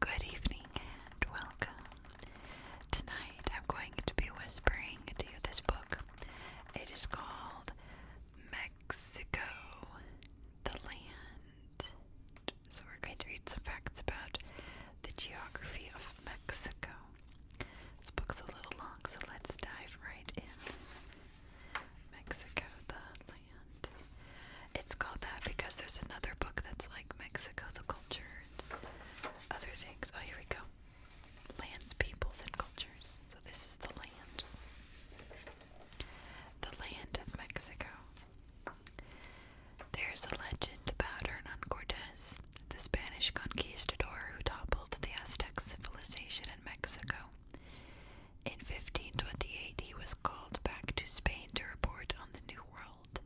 Good evening and welcome. Tonight I'm going to be whispering to you this book. It is called Meg Mexico, the land. So, we're going to read some facts about the geography of Mexico. This book's a little long, so let's dive right in. Mexico, the land. It's called that because there's another book that's like Mexico, the culture, and other things. Oh, here we go. Lands, peoples, and cultures. So, this is the land. The land of Mexico. There's a legend about Hernan Cortes, the Spanish conquistador who toppled the Aztec civilization in Mexico. In 1528, he was called back to Spain to report on the New World.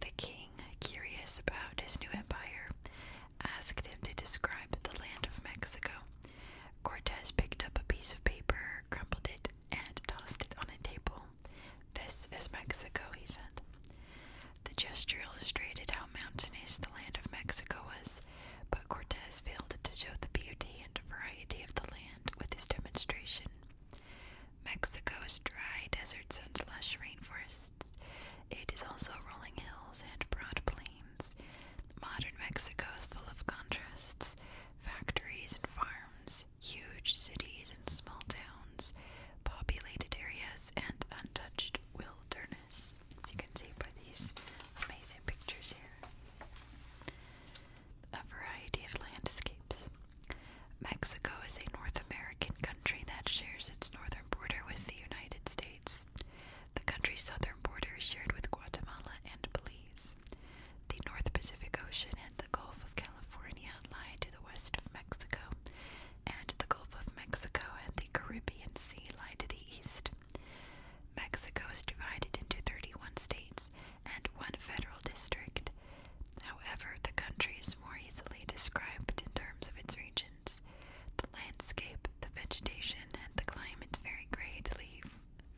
The king, curious about his new empire, asked him to describe the land of Mexico. Cortes picked up a piece of paper, crumpled it, and tossed it on a table. This is Mexico, he said. The gesture illustrated how mountainous the land of Mexico was, but Cortez failed to show the beauty and variety of the land with his demonstration. Mexico is dry deserts and lush rainforests. It is also rolling hills and broad plains. Modern Mexico is full of contrasts, Factories and farms, huge cities and small towns, populated areas, and untouched wilderness, as you can see by these amazing pictures here. A variety of landscapes. Mexico is a North American country that shares its northern border with the United States. The country's southern border is shared with Guatemala and Belize. The North Pacific Ocean and the Gulf of California lie to the west of Mexico, and the Gulf of Mexico and the Caribbean Sea lie to the east. Mexico is divided into 31 states and one federal district. However, the country is more easily described in terms of its regions. The landscape, the vegetation, and the climate vary greatly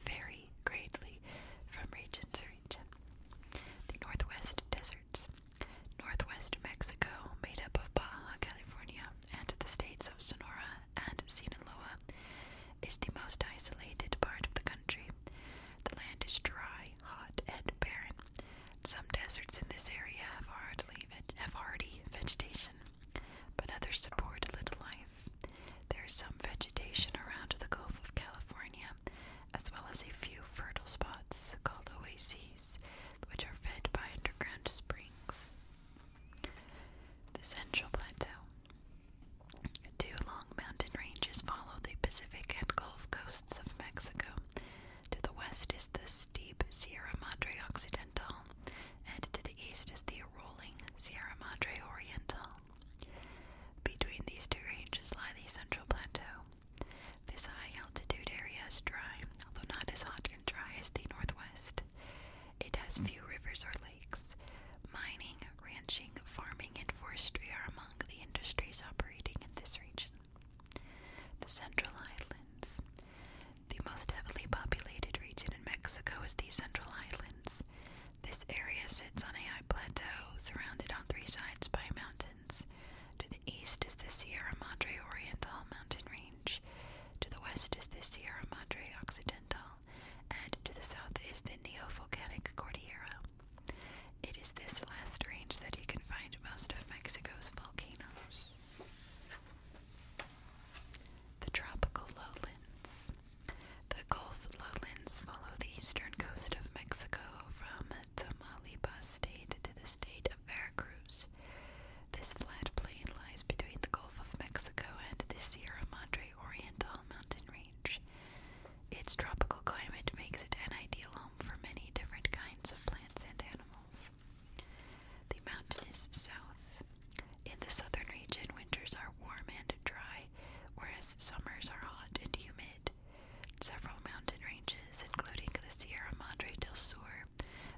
vary greatly from region to region. The Northwest deserts. Northwest Mexico, made up of Baja California and the states of Sonora and Sinaloa, is the most isolated part of the country. The land is dry, hot, and barren. Some deserts in this area have hardy vegetation, but others support little life. There is some vegetation around the Gulf of California, as well as a few fertile spots called oases, which are fed by underground springs. The Central Plateau. Two long mountain ranges follow the Pacific and Gulf coasts of Mexico. To the west is the steep Sierra Madre Occidental, and to the east is the rolling Sierra Madre Oriental. Between these two ranges lie the Central Plateau. This high altitude area is dry, although not as hot and dry as the Northwest. It has few rivers or lakes. Mining, ranching, farming, and forestry are among the industries operating in this region. The Central Islands. The most heavily populated region in Mexico is the Central Islands. This area sits on a high plateau surrounded on three sides by mountains. To the east is the Sierra Madre Oriental mountain range. To the west is the Sierra Madre Occidental, and to the south is the Neovolcanic Cordillera. It is this last range that you can find most of Mexico's volcanoes. The tropical lowlands. The Gulf lowlands follow the eastern coast of Mexico from Tamaulipas state to the state of Veracruz. This flat plain lies between the Gulf of Mexico and the Sierra Madre Oriental mountain range. Its tropical climate makes it an ideal home for many different kinds of plants and animals. The mountainous south. In the southern region, winters are warm and dry, whereas summers are hot and humid. Several mountain ranges, including the Sierra Madre del Sur,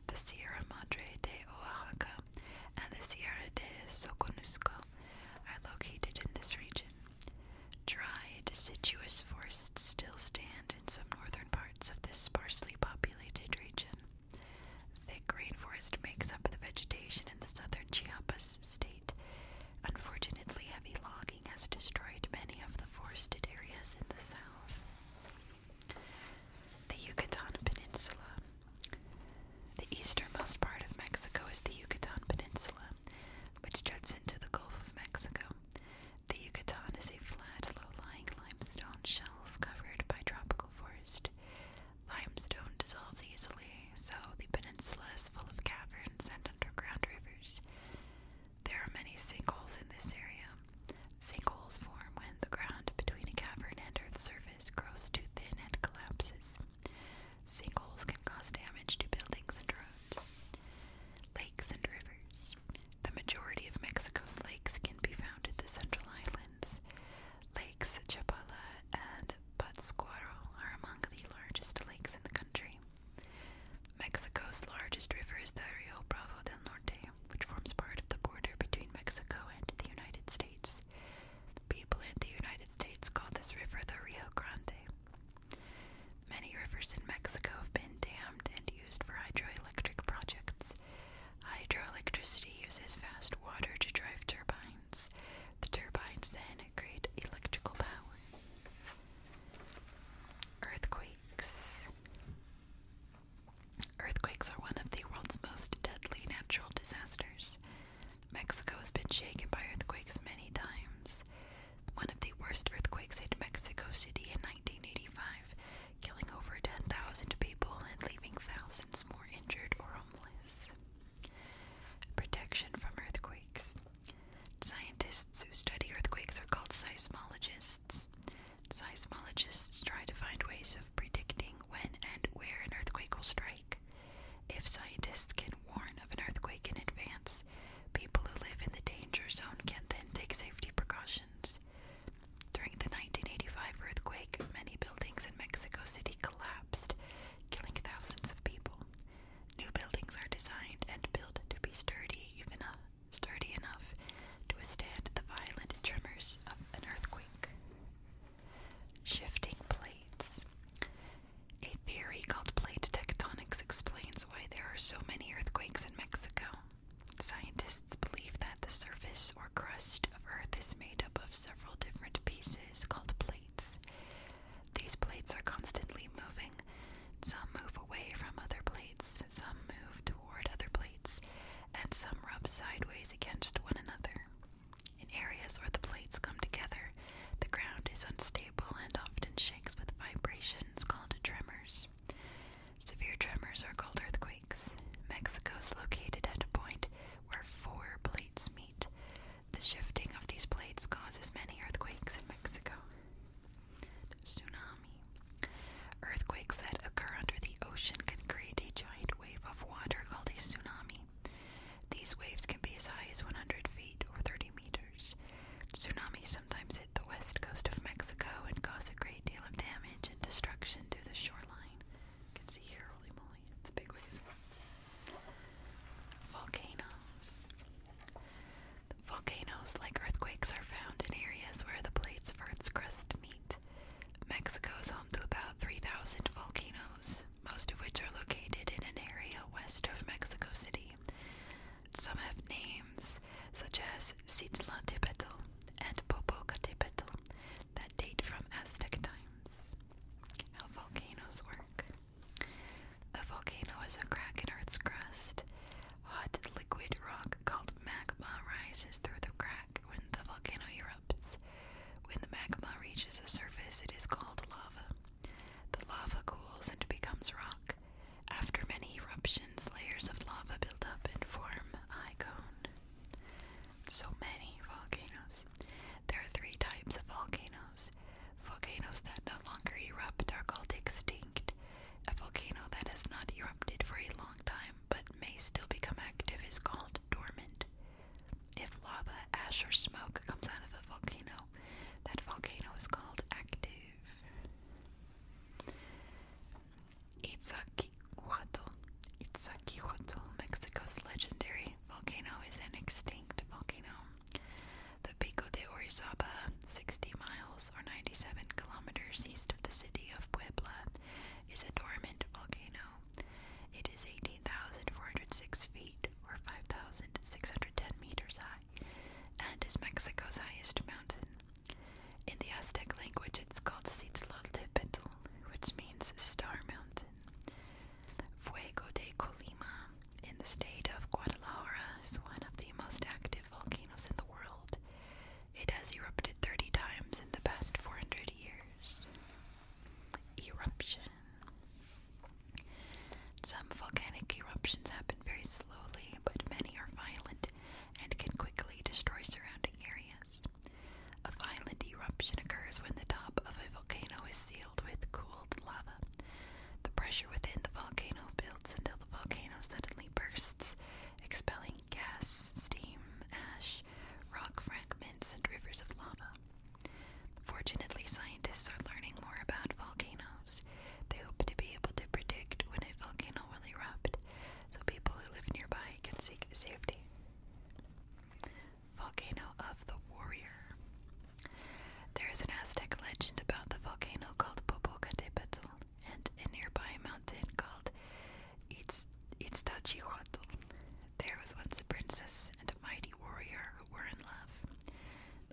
the Sierra Madre de Oaxaca, and the Sierra de Soconusco, are located in this region. Dry, deciduous forests still stand in some northern parts of this sparsely populated region. Thick rainforest makes up the vegetation in the southern Chiapas state, Unfortunately, heavy logging has destroyed many of the forested areas in the south. The Yucatan Peninsula. The easternmost part of Mexico is the Yucatan Peninsula, which juts into the Gulf of Mexico. The Yucatan is a flat, low-lying limestone shelf covered by tropical forest. Limestone dissolves easily so the peninsula is full of caverns and underground rivers. There are many sinkholes in this area. Sinkholes form when the ground between a cavern and Earth's surface grows too thin and collapses. Sinkholes can cause damage to buildings and roads. Lakes and rivers. The majority of Mexico's lakes can be found in the Central Islands. Lakes Chapala and the Pátzcuaro are among the largest lakes in the country. Mexico's largest river is the Rio Bravo del Norte, which forms part of the border between Mexico and the United States. People in the United States call this river the Rio Grande. Many rivers in Mexico have been dammed and used for hydroelectric projects. Hydroelectricity uses fast water to drive turbines the turbines then create electrical power. Earthquakes. Earthquakes are one of the world's most deadly natural disasters. Mexico has been shaken by earthquakes many times. One of the worst earthquakes hit Mexico City in 1985, killing over 10,000 people and leaving thousands more injured or homeless. Protection from earthquakes. Scientists who study earthquakes are called seismologists. Seismologists try to find ways of predicting when and where an earthquake will strike. If scientists can warn of an earthquake in advance, people who live in the danger zone can then take safety precautions. During the 1985 earthquake, many buildings in Mexico City collapsed, killing thousands of people. New buildings are designed and built to be sturdy, even uh, sturdy enough to withstand the violent tremors of an earthquake. Shifting plates. A theory called plate tectonics explains why there are so many earthquakes in Mexico. Scientists believe that the surface or crust of Earth is made up of several different pieces called plates. These plates are constantly moving. Some move away from other plates, some move toward other plates, and some rub sideways against one another. In areas where the plates come together, the ground is unstable and often shakes with vibrations called tremors. Severe tremors are called earthquakes. Mexico is located at a point where four plates meet. The shifting of these plates causes many earthquakes in Mexico. Tsunami. Earthquakes that occur under the ocean can create a giant wave of water called a tsunami. These waves can be as high as 100 feet or 30 meters. Tsunamis sometimes hit the west coast of Mexico and cause a great deal of damage and destruction to the shoreline. You can see here, holy moly, it's a big wave. Volcanoes. Volcanoes, like earthquakes, are found in areas where the plates of Earth's crust meet. Mexico is home to about 3,000 volcanoes, most of which are located in an area west of Mexico City. Some have names such as Citlaltépetl and Popocatépetl that date from Aztec times. How volcanoes work. A volcano is a crack in Earth's crust. Hot liquid rock called magma rises through the crack when the volcano erupts. When the magma reaches the surface, it is called lava. The lava cools and becomes rock. After many eruptions, layers of lava build up and form a cone. So many volcanoes. There are three types of volcanoes. Volcanoes that no longer erupt are called extinct. A volcano that has not erupted for a long time but may still become active is called dormant. If lava, ash, or smoke comes out of a volcano, that volcano is called active. Itzaquihuatl. Itzaquihuatl, Mexico's legendary volcano, is an extinct volcano. The Pico de Orizaba, 60 miles or 97 kilometers east of the city of Puebla, is a dormant volcano. It is 18,406 feet or 5,610 meters high and is Mexico's highest mountain. In the Aztec language, it's called Citlal which means Star Mountain. Fuego de Colima, in the state of Guadalajara, is one of the most active volcanoes in the world. It has erupted 30 times in the past 400 years. Eruption. Some volcanic eruptions happen very slowly, but many are violent and can quickly destroy surrounding areas. A violent eruption occurs when the top of a volcano is sealed with cooled lava the pressure within the volcano builds until the volcano suddenly bursts, expelling gas, steam, ash, rock fragments, and rivers of lava. Fortunately, scientists are learning more about volcanoes. They hope to be able to predict when a volcano will erupt, so people who live nearby can seek safety. Volcano of the Warrior. There is an Aztec legend about the volcano called Popocatépetl and a nearby mountain called Itz Iztaccíhuatl. There was once a princess and a mighty warrior who were in love.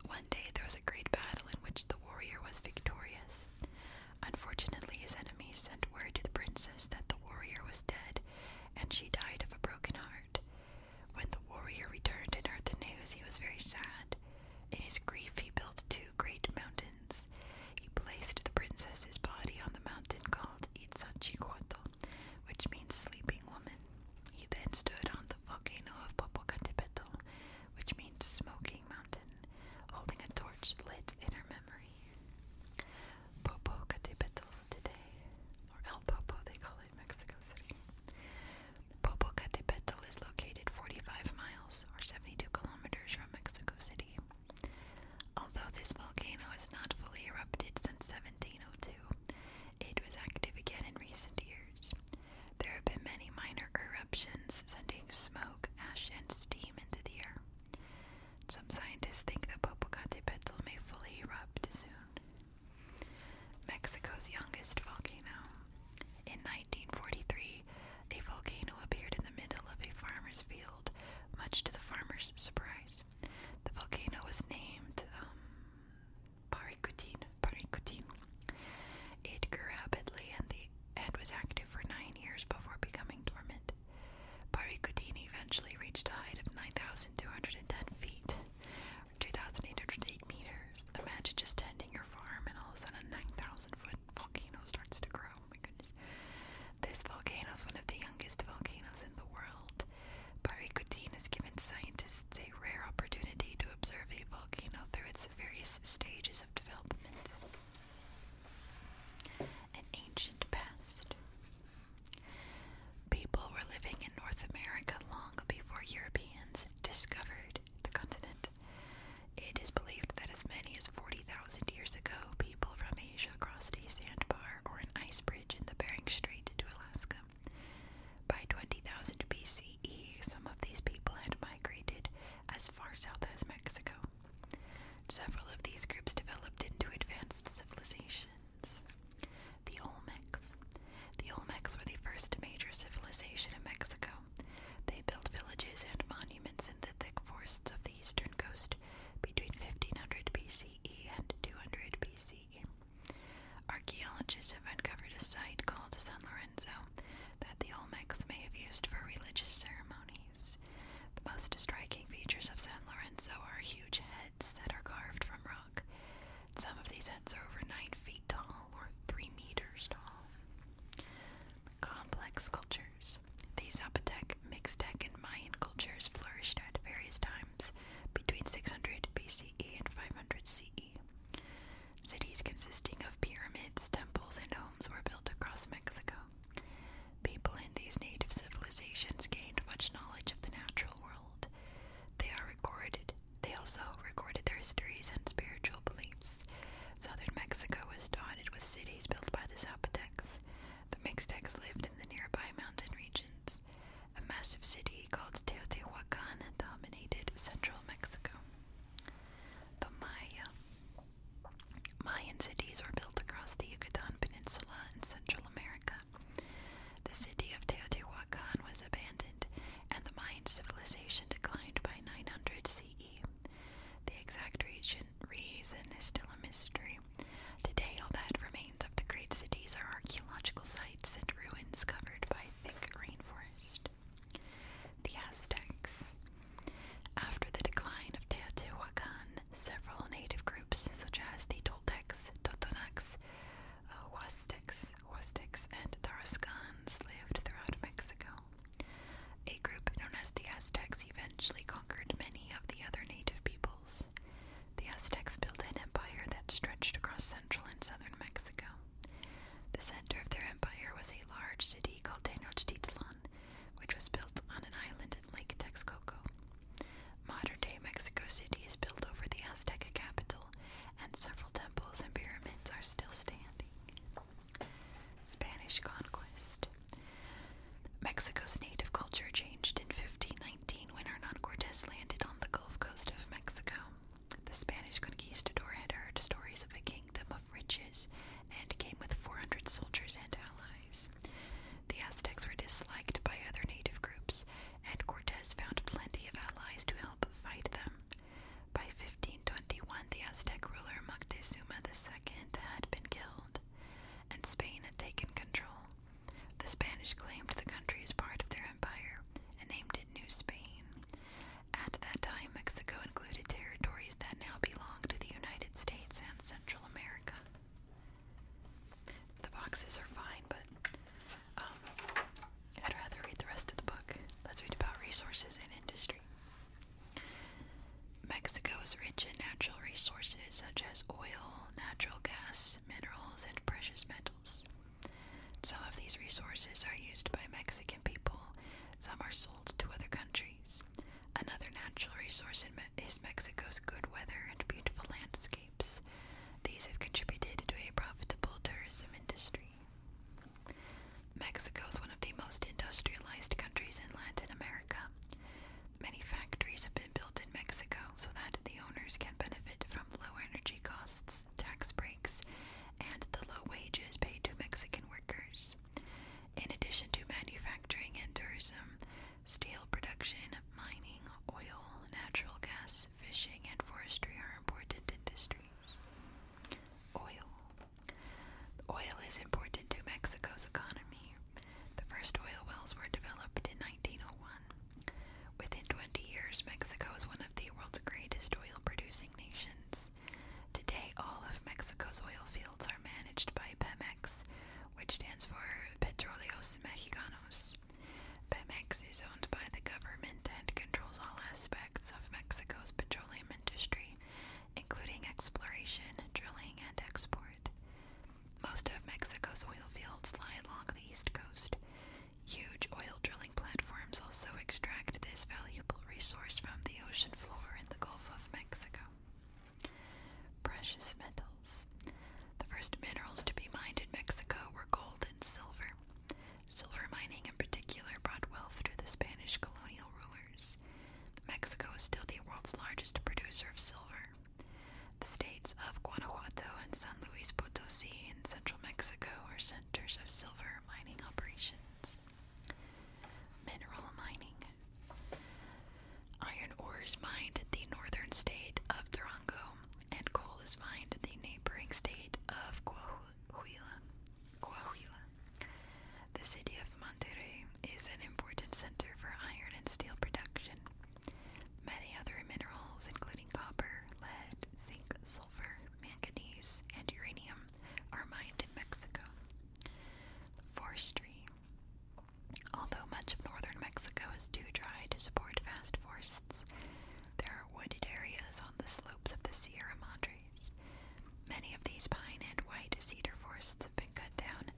One day there was a great battle in which the warrior was victorious. Unfortunately, his enemies sent word to the princess that the warrior was dead, and she died of a broken heart. When the warrior returned and heard the news, he was very sad. In his grief, he built two great mountains. He placed the princess's body on the mountain called Itzachicuatl, which means sleeping woman. He then stood on the volcano of Popocatépetl, which means smoking mountain, holding a torch lit in her memory. Popocatépetl today, or El Popo they call Popocatépetl is located 45 miles or 72 kilometers from Mexico City. Although this volcano has not fully erupted since 1702, it was active again in recent years. There have been many minor eruptions sending smoke, ash, and steam into the air. Some scientists think that Popocatépetl may fully erupt soon. Mexico's youngest volcano. In 1943, a volcano appeared in the middle of a farmer's field, much to the farmer's surprise. The volcano was named um, Paricutin. Paricutin. It grew rapidly and, and was active for nine years before becoming dormant. Paricutin eventually reached a height of 9,210 feet, 2,808 meters. Imagine just tending your farm and all of a sudden a 9,000 foot volcano starts to grow. my goodness. This volcano is one of the youngest volcanoes in the world. Paricutin has given scientists a rare opportunity to observe a volcano through its various stages of development. An ancient past. People were living in North America long before Europeans discovered the continent. It is believed that as many as 40,000 years ago, people from Asia crossed a sandbar or an ice bridge in the Bering Strait to Alaska. By 20,000 BCE, some of these people had migrated as far south as Mexico. Several of these groups developed into advanced civilizations. The Olmecs. The Olmecs were the first major civilization in Mexico. They built villages and monuments in the thick forests of the eastern coast between 1500 BCE and 200 BCE. Archaeologists have uncovered a site called San Lorenzo that the Olmecs may have used for religious ceremonies. The most striking features of San Lorenzo are huge heads that are carved from rock. Some of these heads are over 9 feet tall or 3 meters tall. Complex sculptures. The Zapotec, Mixtec, and Mayan cultures flourished at various times between 600 BCE and 500 CE. Cities consisting of pyramids, temples, and homes were built across Mexico. People in these native civilizations gained much knowledge of the natural world. They are recorded they also recorded their histories and spiritual beliefs. Southern Mexico was dotted with cities built by the Zapotecs. The Mixtecs lived in the nearby mountain regions. A massive city called Teotihuacan dominated central Mexico. The Maya. Mayan cities were built across the Yucatan Peninsula in Central America. The city of Teotihuacan Teotihuacan was abandoned and the Mayan civilization declined by 900 CE. The exact reason is still a mystery. Today, all that remains of the great cities are archaeological sites and ruins covered by thick rainforest. The Aztecs. After the decline of Teotihuacan, several native groups, such as the Toltecs, Totonacs, Huastecs, Huastecs and Tarascans lived throughout Mexico. A group known as the Aztecs eventually conquered many of the other native peoples. The Aztecs built an empire that stretched across central and southern Mexico. The center of their empire was a large city called Tenochtitlan, which was built on an island in Lake Texcoco. Modern day Mexico City is built over the Aztec capital and several temples and pyramids are still standing. Spanish conquest. Mexico's native culture changed in 1519 when Hernan Cortes landed on the Gulf Coast of Mexico. The Spanish conquistador had heard stories of a kingdom of riches and came with 400 soldiers and allies. The Aztecs were disliked by other native groups, and Cortes found plenty of allies to help fight them. By 1521, the Aztec ruler Moctezuma II had been killed, and Spain had taken control. The Spanish claimed the country as part of their empire and named it New Spain. At that time, Mexico included territories that now belong to the United States and Central America. The boxes are fine, but um, I'd rather read the rest of the book. Let's read about resources and industry. Mexico is rich in natural resources such as oil, natural gas, minerals, and precious metals. Some of these resources are used by Mexican people, some are sold to other countries. Another natural resource is Mexico's good weather and beautiful landscapes. These have contributed to a profitable tourism industry. Mexico is one of the most industrialized countries in Latin America. Many factories have been built in Mexico so that the owners can benefit from low energy costs, tax breaks, and the low wages paid to Mexican workers. In addition to manufacturing and tourism, steel production, mining, oil, natural gas, fishing, and forestry are important industries. Oil. Oil is important to Mexico's economy. The first oil wells were developed in 1901. Within 20 years, Mexico was one of the world's greatest oil producing nations. Today, all of Mexico's oil fields are managed by Pemex, which stands for Petróleos Mexicanos. Pemex is owned by the government and controls all aspects of Mexico's petroleum industry, including exploration, drilling, and export. Most of Mexico's oil fields lie along the east coast. Huge oil drilling platforms also extract this valuable resource from the ocean floor in the Gulf of Mexico. Precious metals. The first minerals to be mined in Mexico were gold and silver. Silver mining, in particular, brought wealth to the Spanish colonial rulers. Mexico is still the world's largest producer of silver. The states of Guanajuato and San Luis Potosi in central Mexico are centers of silver mining operations. Mineral mining. Iron ore is mined in the northern state of Durango, and coal is mined in the neighboring state of Coahuila. Coahuila. Coahuila. The city of Monterrey is an important center for iron and steel production. Many other minerals, including copper, lead, zinc, sulfur, manganese, and uranium, are mined in Mexico. Forestry. Although much of northern Mexico is too dry to support vast forests, there are wooded areas on the slopes of the Sierra Madres. Many of these pine and white cedar forests have been cut down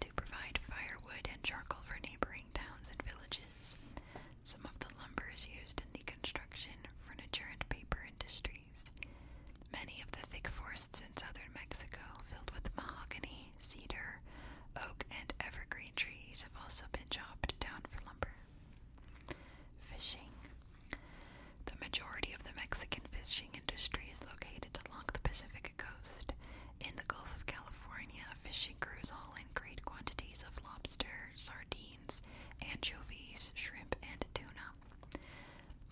to provide firewood and charcoal for neighboring towns and villages. Some of the lumber is used in the construction, furniture, and paper industries. Many of the thick forests in southern Mexico, filled with mahogany, cedar, oak, and evergreen trees, have also been chopped down for lumber. Fishing. The majority of the Mexican fishing industry is located along the Pacific coast. In the Gulf of California, fishing crews haul in great quantities of lobster, sardines, anchovies, shrimp, and tuna.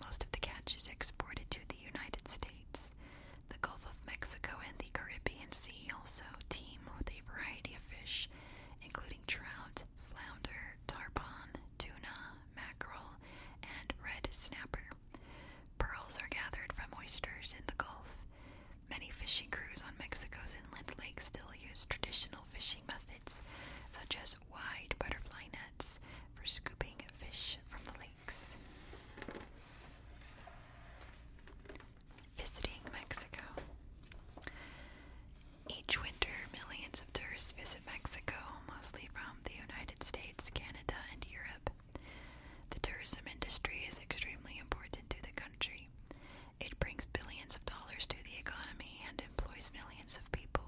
Most of the catch is exported to the United States. The Gulf of Mexico and the Caribbean Sea also teem with a variety of fish, including trout, flounder, tarpon, tuna, mackerel, and red snapper. Pearls are gathered from oysters in the Gulf. Many fishing crews on Mexico's inland lakes still use traditional fishing methods, such as wide butterfly nets, for scooping fish from the lakes visiting Mexico. Each winter, millions of tourists visit Mexico, mostly from the United States, Canada, and Europe. The tourism industry is extremely important to the country. It brings billions of dollars to the economy and employs millions of people.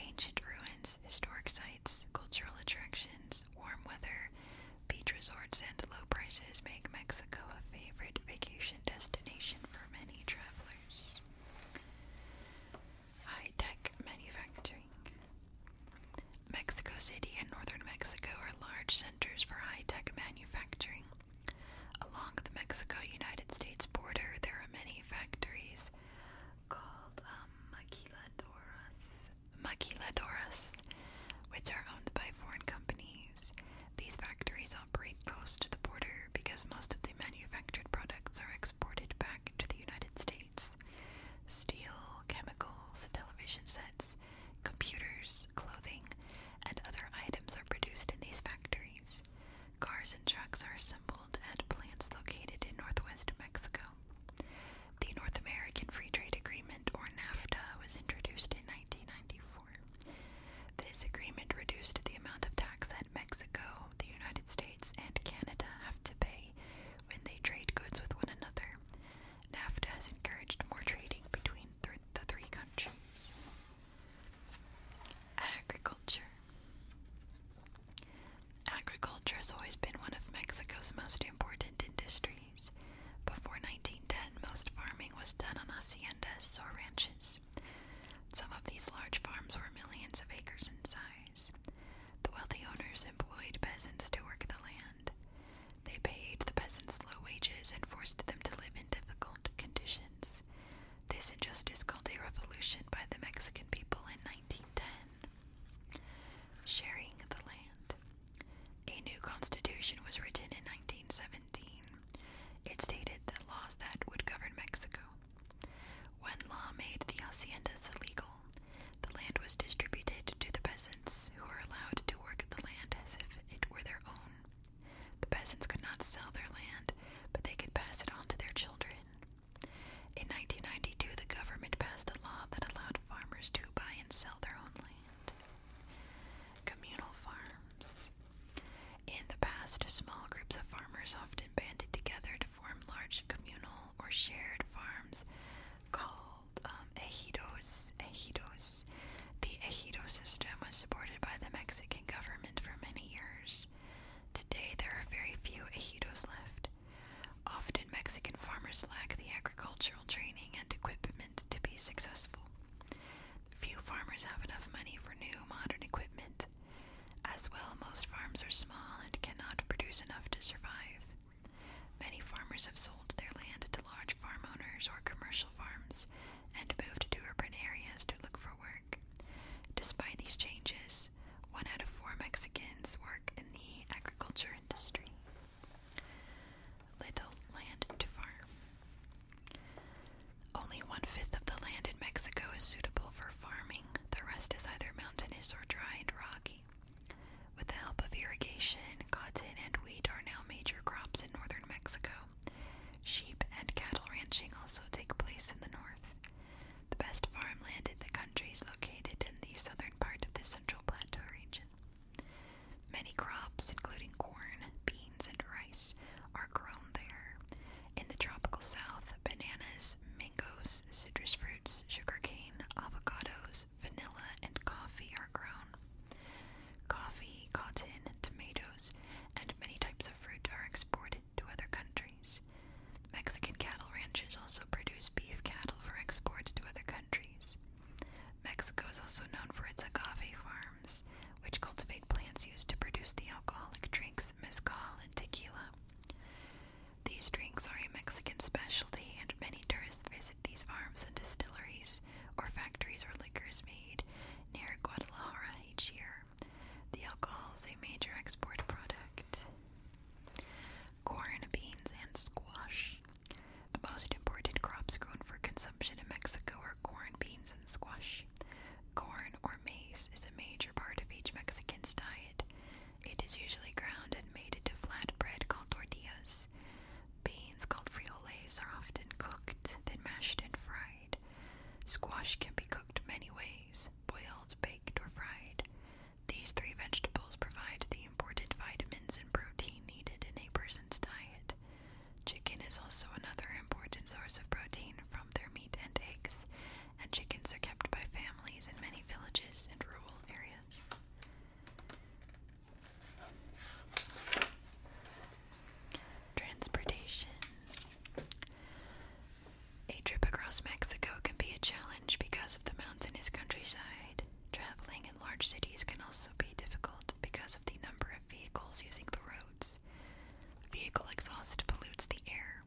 Ancient ruins, historic sites, cultural attractions, warm weather, beach resorts, and low prices make Mexico a favorite vacation destination for many travelers. High tech manufacturing. Mexico City and northern Mexico are large centers for high tech manufacturing. Along the Mexico United States border, there are many factories called um, maquiladoras, which are owned by foreign companies. These factories operate close to the border because most of the manufactured products are exported back to the United States. Steel, chemicals, television sets, computers, clothing, and other items are produced in these factories. Cars and trucks are assembled at plants located in northwest Mexico. The North American Free Trade Agreement, or NAFTA, was introduced in 1994. This agreement reduced the amount of tax that Mexico, the United States, and Canada have to pay when they trade goods with one another. NAFTA has encouraged more trading between the three countries. Agriculture. Agriculture has always been one of Mexico's most important industries. Before 1910, most farming was done on haciendas or ranches farms. Some of these large farms were millions of acres in size. The wealthy owners employed peasants to work the land. They paid the peasants low wages and forced them to live in difficult conditions. This injustice called a revolution by the Mexican people in 1910. Sharing the land. A new constitution was written in 1917. It stated that laws that would govern Mexico. When law made the haciendas illegal. The land was distributed to the peasants, who were allowed to work the land as if it were their own. The peasants could not sell their land, but they could pass it on to their children. In 1992, the government passed a law that allowed farmers to buy and sell their own land. Communal farms. In the past, small groups of farmers often banded together to form large communal or shared farms called um, ejidos. Ejidos. The ejido system was supported by the Mexican government for many years. Today, there are very few ejidos left. Often, Mexican farmers lack the agricultural training and equipment to be successful. Few farmers have enough money for new modern equipment. As well, most farms are small and cannot produce enough to survive. Many farmers have sold their land to large farm owners or commercial farms and moved to urban areas to look for work. Despite these changes, one out of four Mexicans work in the agriculture industry. Little land to farm. Only one fifth of the land in Mexico is suitable for farming, the rest is either mountainous or dry and rocky. With the help of irrigation, cotton and wheat are now major crops in northern Mexico. Sheep and cattle ranching also take place in the north. The best farmland in the country is located in the southern part of the Central Plateau region. Many crops, including corn, beans, and rice rice are grown there. In the tropical south, bananas, mangoes, citrus fruits, sugarcane, avocados, vanilla, and coffee are grown. Coffee, cotton, tomatoes, and many types of fruit are exported to other countries. Mexican cattle ranches also produce beef cattle for export to other countries. Mexico is also known for its agave farm which cultivate plants used to produce the alcoholic drinks mezcal and tequila. These drinks are a Mexican specialty, and many tourists visit these farms and distilleries or factories where liquor is made near Guadalajara each year. The alcohol is a major export product. Corn, beans, and squash. The most important crops grown for consumption in Mexico are corn, beans, squash. Corn or maize is a major part of each Mexican's diet. It is usually ground and made into flat bread called tortillas. Beans called frijoles are often cooked, then mashed and fried. Squash can be cooked many ways boiled, baked, or fried. These three vegetables provide the important vitamins and protein needed in a person's diet. Chicken is also another important source of protein from their meat and eggs, and chickens are kept by families in many villages and rural areas. Transportation. A trip across Mexico can be a challenge because of the mountains mountainous countryside. Traveling in large cities can also be difficult because of the number of vehicles using the roads. Vehicle exhaust pollutes the air.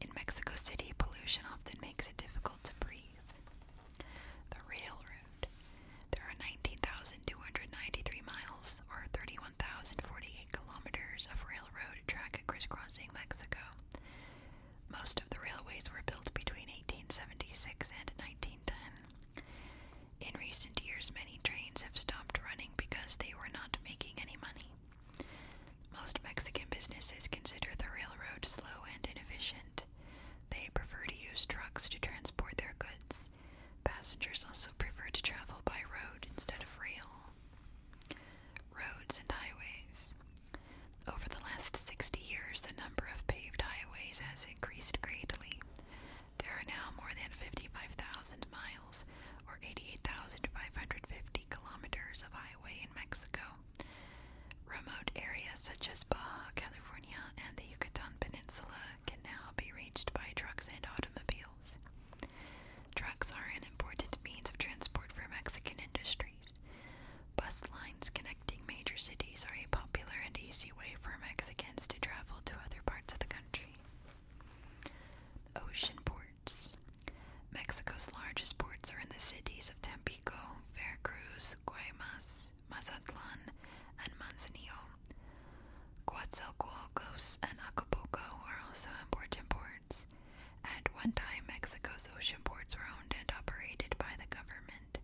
In Mexico City, pollution often makes it difficult to breathe. The railroad. There are 19,293 miles, or 31,048 kilometers, of railroad track crisscrossing Mexico. Most of the railways were built between 1876 and 1910. In recent years, many trains have stopped running because they were not making any money. Most Mexican businesses consider the railroad slow and inefficient. They prefer to use trucks to transport their goods. Passengers also prefer to travel by road instead of rail. Roads and highways. Over the last 60 years, the number of paved highways has increased greatly. There are now more than 55,000 miles, or 88,550 kilometers, of highway in Mexico. Remote areas such as Baja California and the Yucatan Peninsula can now be reached by trucks and automobiles. Trucks are an important means of transport for Mexican industries. Bus lines connecting major cities are a popular and easy way for Mexicans to travel to other parts of the country. Ocean ports. Mexico's largest ports are in the cities of Tampico, Veracruz, Guaymas, Mazatlan, and Manzanillo. Coatzacoalcos and Acapulco are also important ports. At one time, Mexico's ocean ports were owned and operated by the government.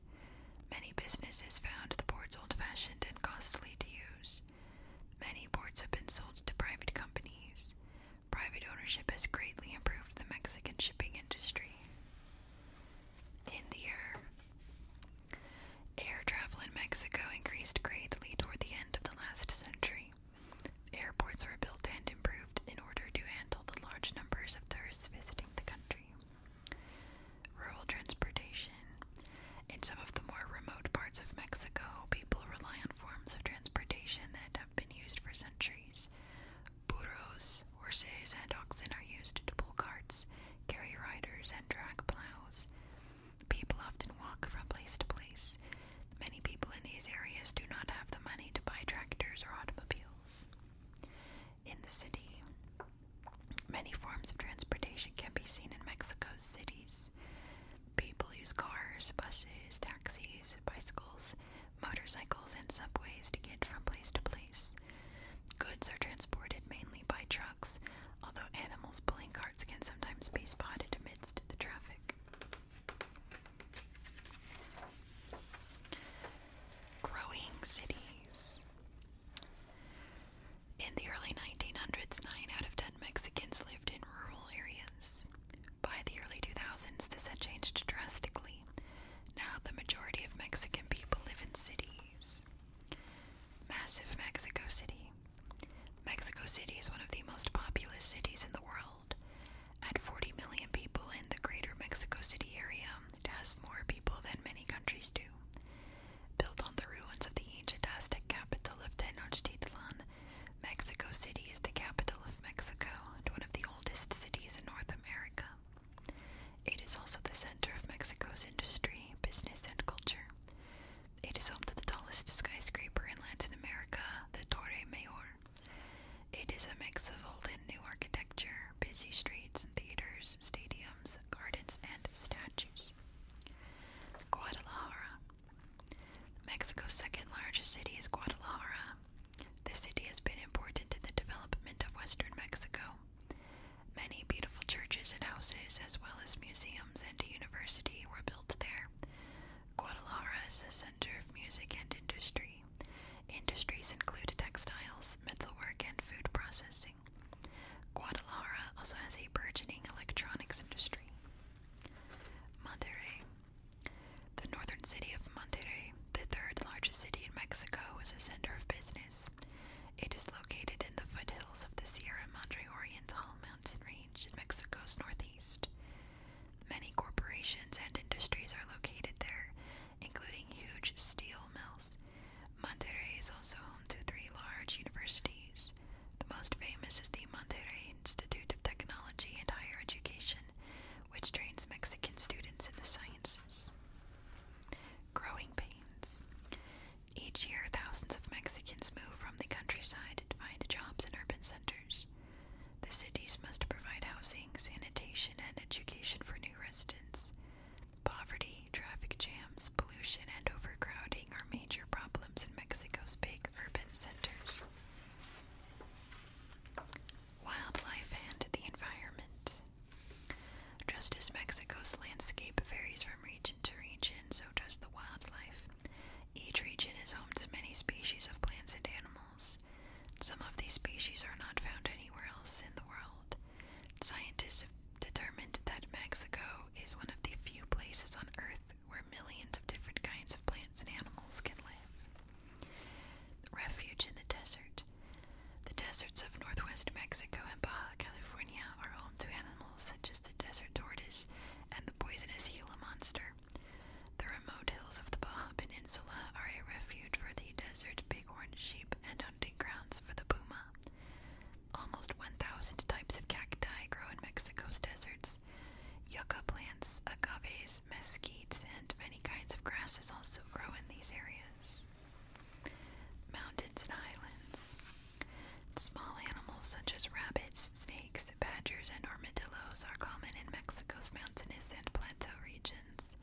Many businesses found the ports old fashioned and costly to use. Many ports have been sold to private companies. Private ownership has greatly improved the Mexican shipping industry. In the year, air travel in Mexico increased greatly toward the end of the last century. Airports were built and improved in order to handle the large numbers of tourists visiting the country. Rural transportation in some of the more remote parts of Mexico, people rely on forms of transportation that have been used for centuries. Burros, horses, and oxen are used to pull carts, carry riders, and drag plows. People often walk from place to place. Many people in these areas do not have the money to buy tractors or automobiles. In the city, many forms of transportation can be seen in Mexico's cities. People use cars, buses, taxis, bicycles, motorcycles, and subways to get from place to place. Goods are transported mainly by trucks, although animals pulling carts can sometimes be spotted amidst the traffic. Growing cities. In the early 1900s, 9 out of 10 Mexicans lived in rural areas. By the early 2000s, this had changed drastically. Now, the majority of Mexican people live in cities. Massive Mexico City. Mexico City is one of the most populous cities in the world. At 40 million people in the greater Mexico City area, it has more people than many countries do. Built on the ruins of the ancient Aztec capital of Tenochtitlan, Mexico City is the capital of Mexico and one of the oldest cities in North America. It is also the center of Mexico's industry, business, and culture. It is home to the tallest skyscraper in Latin America, the Torre Mayor. It is a mix of old and new architecture, busy streets theaters, stadiums, gardens, and statues. Guadalajara Mexico's second largest city is Guadalajara. This city has been important in the development of western Mexico. Many beautiful churches and houses, as well as museums and a university, were built there. Guadalajara is the center of music and industry. Industries include textiles, metalwork, and food processing. Guadalajara also has a burgeoning electronics industry. Monterrey. The northern city of Monterrey, the third largest city in Mexico, is a center of business. It is located in the foothills of the Sierra Madre Oriental mountain range in Mexico's northeast. Many corporations and industries are located there, including huge steel mills. Monterrey is also home to three large universities the most famous is the Monterrey Institute of Technology and Higher Education, which trains Mexican students in the sciences. Growing pains. Each year, thousands of Mexicans move from the countryside to find jobs in urban centers. The cities must provide housing, sanitation, and education for new residents. Poverty, traffic jams, pollution, and overcrowding our major problems in Mexico's big urban centers. Wildlife and the environment. Just as Mexico's landscape varies from region to region, so does the wildlife. Each region is home to many species of plants and animals. Some of these species are not found anywhere else in the world. Scientists have determined that Mexico is one of the few places on Earth where millions of different kinds of plants and animals can live. Refuge in the desert. The deserts of northwest Mexico and Baja California are home to animals such as the desert tortoise and the poisonous Gila monster. The remote hills of the Baja Peninsula are a refuge for the desert bighorn sheep and hunting grounds for the puma. Almost 1,000 types of cacti grow in Mexico's deserts Yucca plants, agaves, mesquites, and many kinds of grasses also grow in these areas. Mountains and islands. Small animals such as rabbits, snakes, badgers, and armadillos are common in Mexico's mountainous and plateau regions.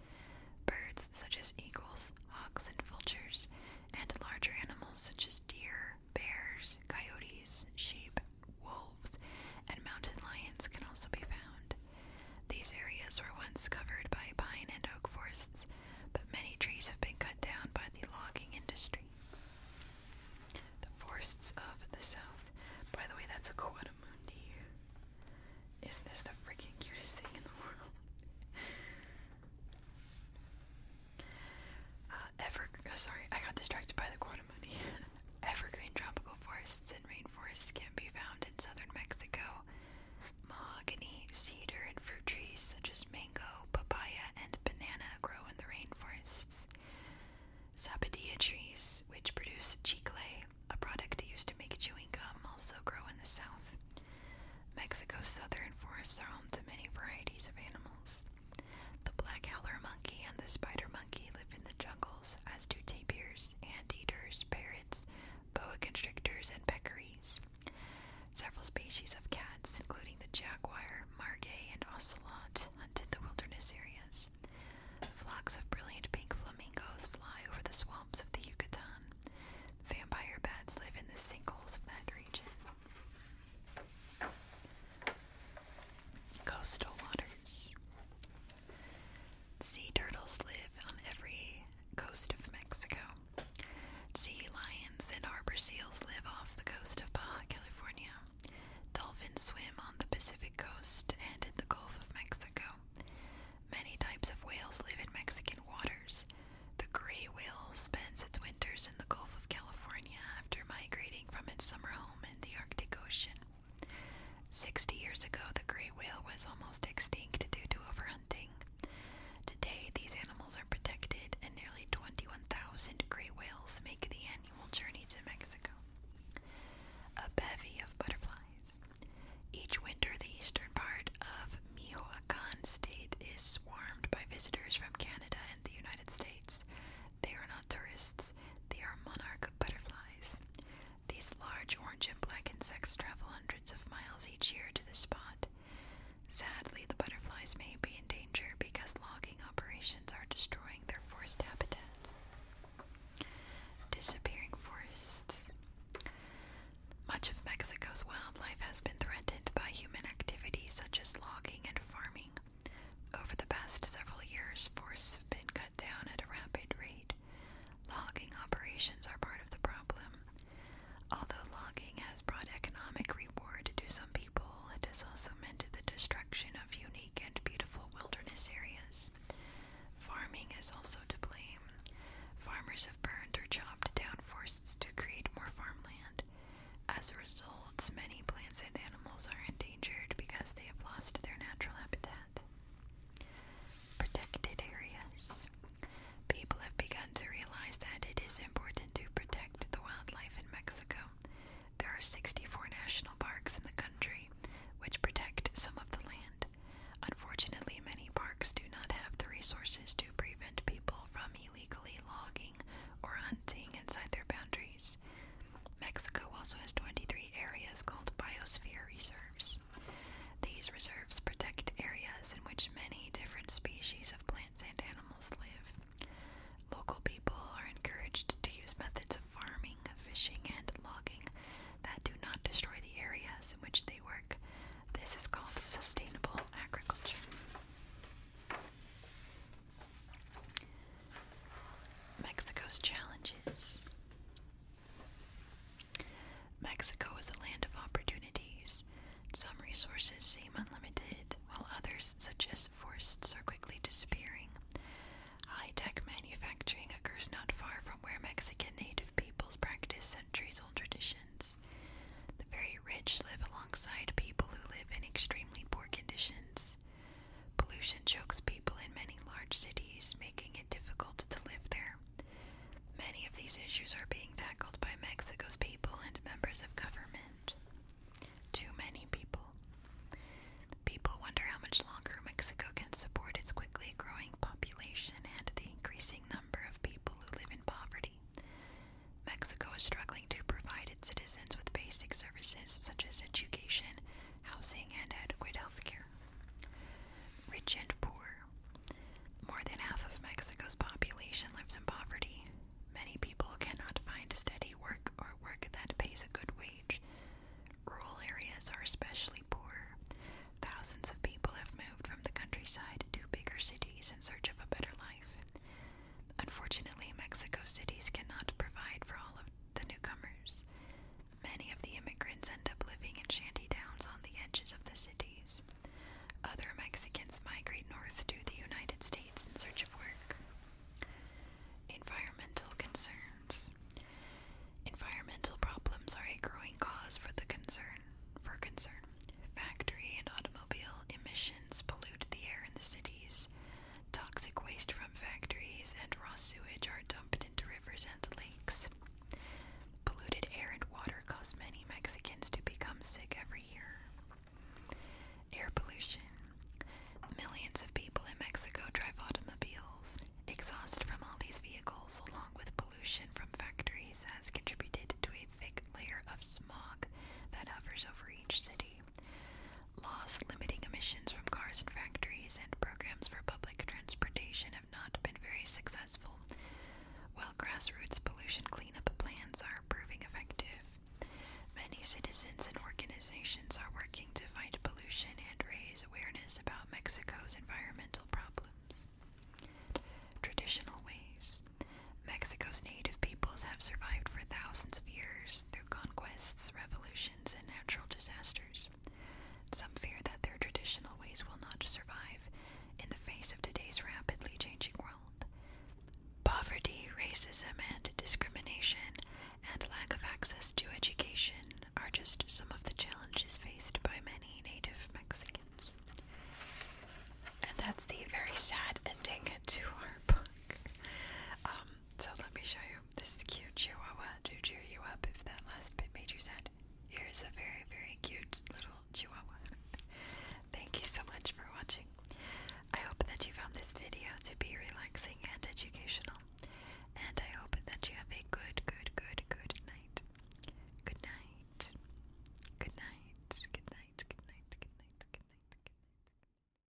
Birds such as eagles, hawks, and vultures, and larger animals such as deer, bears, coyotes, sheep, wolves, and mountain lions can also be found. These areas were once covered by pine and oak forests, but many trees have been cut down by the logging industry. The forests of the south. By the way, that's a Quadamundi. Isn't this the freaking cutest thing in the world? Uh, ever oh, sorry, I got distracted by the quantum money. Evergreen tropical forests and rainforests can be found in southern Mexico. Mahogany, cedar, and fruit trees such as mango, papaya, and banana grow in the rainforests. Sapodilla trees, which produce chicle, a product used to make chewing gum, also grow in the south. Mexico's southern forests are home to many varieties of animals. The black howler monkey and the spider monkey live in the jungles, as do tapirs, anteaters, parrots, boa constrictors, and peccaries. Several species of cats, including the jaguar, margay, and ocelot, hunted the wilderness areas. Flocks of brilliant pink flamingos fly over the swamps of the Yucatan. Vampire bats live in the sinkholes of that region. Coastal waters. Sea turtles live on every coast of Mexico. Sea lions and harbor seals live off the coast of Baja California. Dolphins swim on the Pacific coast and in the Gulf of Mexico. Many types of whales live in Mexican waters. The gray whale spends its winters in the Gulf of California after migrating from its summer home in the Arctic Ocean. Sixty years ago, the great whale was almost extinct due to overhunting. Today, these animals are protected, and nearly 21,000 gray whales make the annual journey to Mexico. A bevy of butterflies. Each winter, the eastern part of Michoacan State is swarmed by visitors from Canada and the United States, they are not tourists, they are monarch butterflies. These large orange and black insects travel hundreds of miles each year to the spot. Sadly, the butterflies may be in danger because logging operations are destroying their forest habitat. Disappearing forests. Much of Mexico's wildlife has been threatened by human activity such as logging and farming. Over the past several years, forests have been cut down at a rapid rate. Logging operations are part of the problem. Although logging has brought economic reward to some people, it has also meant the destruction of unique and beautiful wilderness areas. Farming is also to blame. Farmers have burned or chopped down forests to create more farmland. As a result, many plants and animals are endangered because they have lost their natural habitat. Protected areas. People have begun to realize that it is important to protect the wildlife in Mexico. There are 64 national parks in the country which protect some of the land. Unfortunately, many parks do not have the resources to prevent people from illegally logging or hunting inside their boundaries. Mexico also has 23 areas called biosphere reserves. These reserves protect areas in which many different species of plants and animals live. Local people are encouraged to use methods of farming, fishing, and logging that do not destroy the areas in which they work. This is called sustainable agriculture. Mexico's challenges. Mexico is a land of opportunities. Some resources seem unlimited, while others, such as forests, are quickly disappearing. High tech manufacturing occurs not far from where Mexican native peoples practice centuries old traditions. The very rich live alongside people who live in extremely poor conditions. Pollution chokes people in many large cities, making it difficult to live there. Many of these issues are being tackled by Mexico's people and members of government. Too many people. People wonder how much longer Mexico can support its quickly growing population and the increasing number of people who live in poverty. Mexico is struggling to provide its citizens with basic services such as education, housing, and adequate health Rich and poor. More than half of Mexico's population lives in poverty. Many people cannot find steady work or work that pays a good wage. Rural areas are especially poor. Thousands of people have moved from the countryside to bigger cities in search of a better life. Unfortunately, Mexico cities cannot provide for all of the newcomers. Many of the immigrants end up living in shanty towns on the edges of the cities. Other Mexicans migrate north to the United States in search of work. Environmental concerns. Environmental problems are a growing cause for concern for concern. Factory and automobile emissions pollute the air in the cities. Toxic waste from factories and raw sewage are dumped into rivers and lakes. Polluted air and water cause many Mexicans to become sick every year. Air pollution. Millions of people in Mexico drive automobiles. Exhaust from all these vehicles, along with pollution from factories, has contributed to a thick layer of smog that hovers over each city. Laws limiting emissions from cars and factories and programs for public transportation have not been very successful, while grassroots pollution cleanup plans are proving effective. Many citizens and organizations are working to fight pollution and raise awareness about Mexico's environmental problems. Traditional ways Mexico's native peoples have survived for thousands of years, through conquests, revolutions, and natural disasters. Some fear that their traditional ways will not survive in the face of today's rapidly changing world. Poverty, racism, and discrimination, and lack of access to education are just some of the challenges faced by many native Mexicans. And that's the very sad ending to our book. Um, so let me show you this cute chihuahua to cheer you up if that last bit made you sad. Here's a very, very cute little chihuahua. Thank you so much for watching. I hope that you found this video to be relaxing and educational. And I hope that you have a good, good, good, good night. Good night. Good night. Good night. Good night. Good night. Good night. Good night.